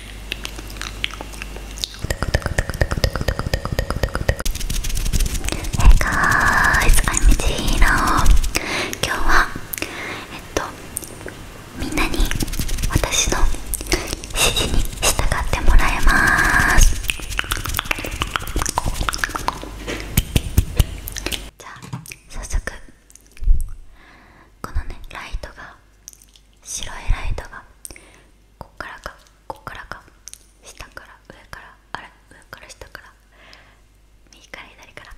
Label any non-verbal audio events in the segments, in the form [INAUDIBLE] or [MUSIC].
Hey guys, I'm Michiro 今日は、えっと、みんなに私の指示に従ってもらいますじゃあ早速このねライトが白いライトがこっからかここからか下から上からあれ上から下から右から左から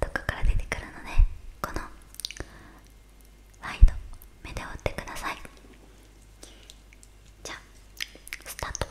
どこから出てくるので、このライト目で追ってくださいじゃあスタートよ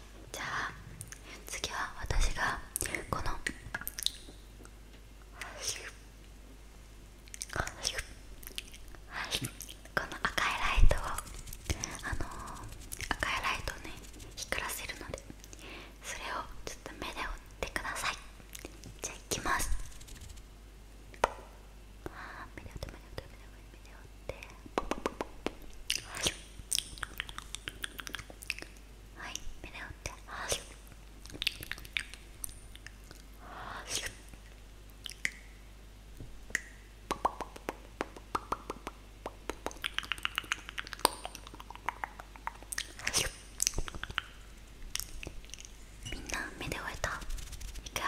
じゃあ次は私がこのこの赤いライトをあの赤いライトをね光らせるのでそれをちょっと目で追ってくださいじゃあきます目で目で追って目で追って目で追ってはい胸を打ってみんな目で終えたいくよ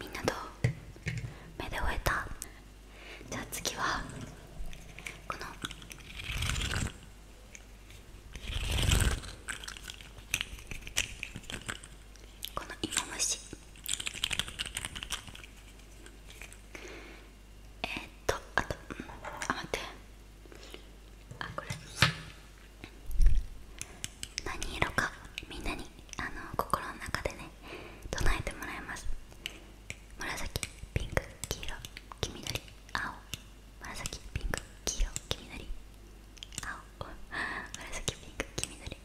みんなどう目で終えたじゃあ次はこのこの芋虫えっとあと、うん、あ待ってあこれ何色かみんなにあの心の中でね唱えてもらいます紫ピンク黄色黄緑青紫ピンク黄色黄緑青紫ピンク黄緑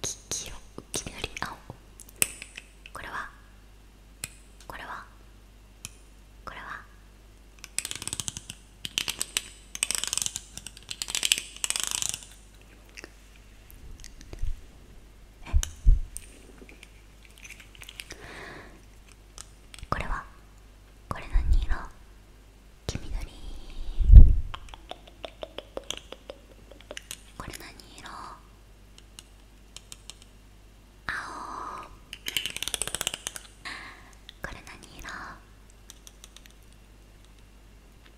黄色黄緑青これはこれはこれはえこれはこれ何色黄緑これ何色青これ何色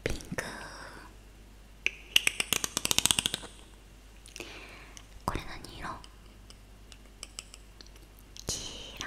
ピンクこれ何色黄色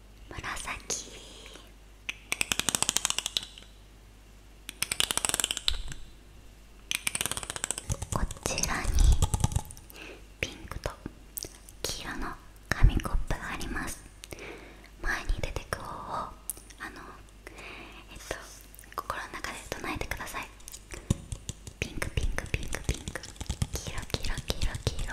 紫こちらにピンクと黄色の紙コップがあります前に出てく方をあのえっと心の中で唱えてくださいピンクピンクピンクピンク黄色黄色黄色黄色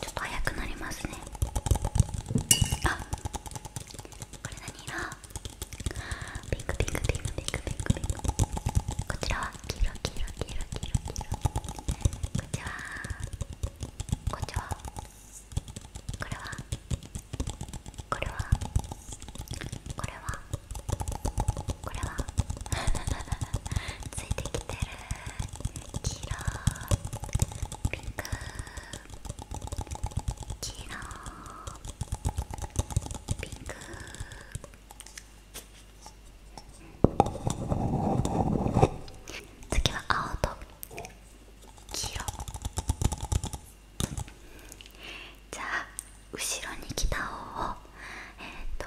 ちょっと早くなりますねあこれ何色ピンクピンクピンクピンクピンクピンクこちらは黄色黄色黄色黄色黄色こっちはこっちはこれはこれはこれはこれは [LAUGHS] ついてきてる黄色ピンク黄色ピンク次は青と黄色じゃあ後ろに来た方をえっ、と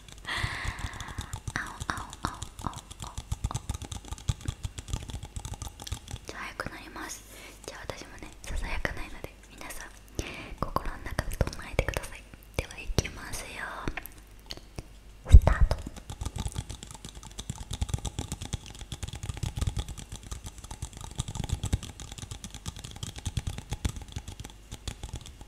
青青青青青じゃあ早くなりますじゃあ私もねささやかないので皆さん心の中で唱えてくださいではいきますよスタート「どう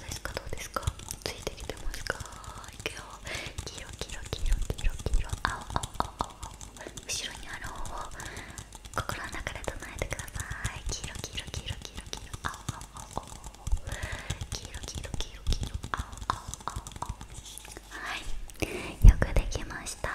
ですかどうですかついてきてますかいくよ黄色黄色黄色黄色青青青青後ろにある方を心の中で唱えてください黄色黄色黄色黄色黄色青青青黄色黄色黄色青青青青はいよくできました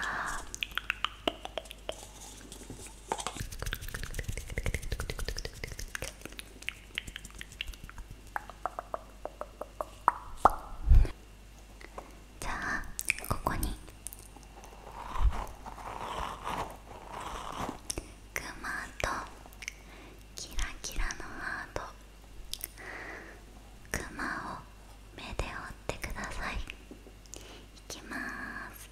じゃあここに熊とキラキラのアートクマを目で追ってくださいいきまーす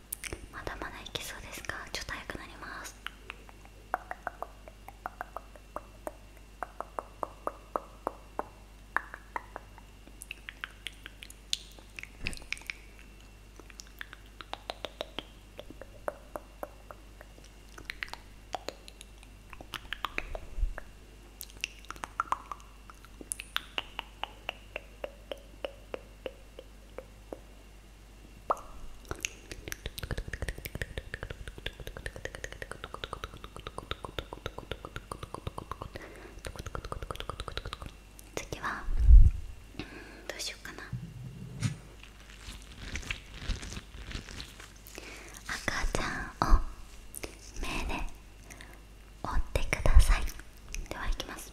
まだまだいけそうですかちょっと早くなります次はうんどうしようかな赤ちゃんを目で追ってくださいではいきます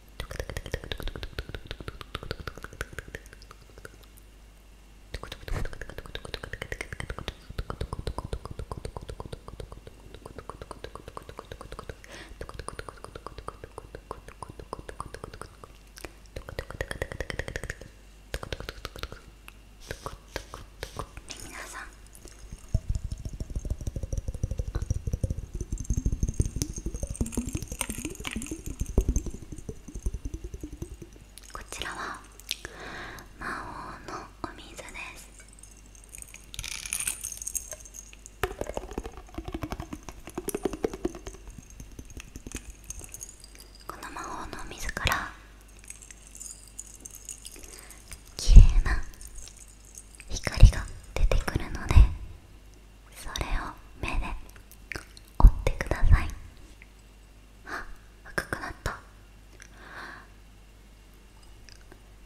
皆さんこちらは魔王のお水ですこの魔法の水から綺麗な光が出てくるのでそれを目で折ってくださいあ赤くなった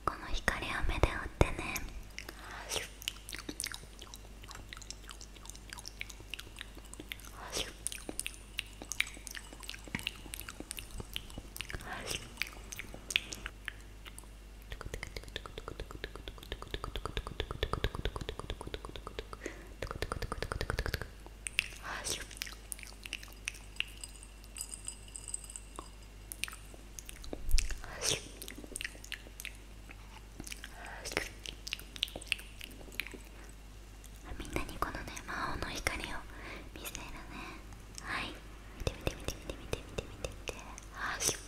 この光を目で折ってねみんなにこのね魔王の光を見せるねはい見て見て見て見て見て見て見て見てあー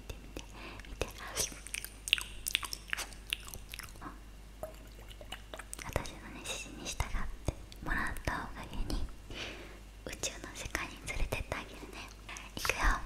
て見て見て私のね指示に従ってもらったおかげに宇宙の世界に連れてってあげるねいくよ「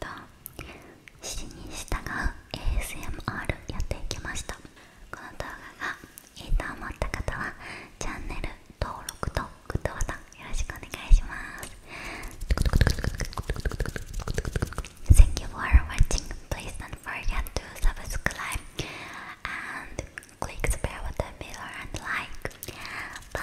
と指示に従う ASMR やっていきましたこの動画がいいと思った方はチャンネル登録とグッドボタンよろしくお願いします Thank you for watching Please don't forget to subscribe and click the bell button below and like Bye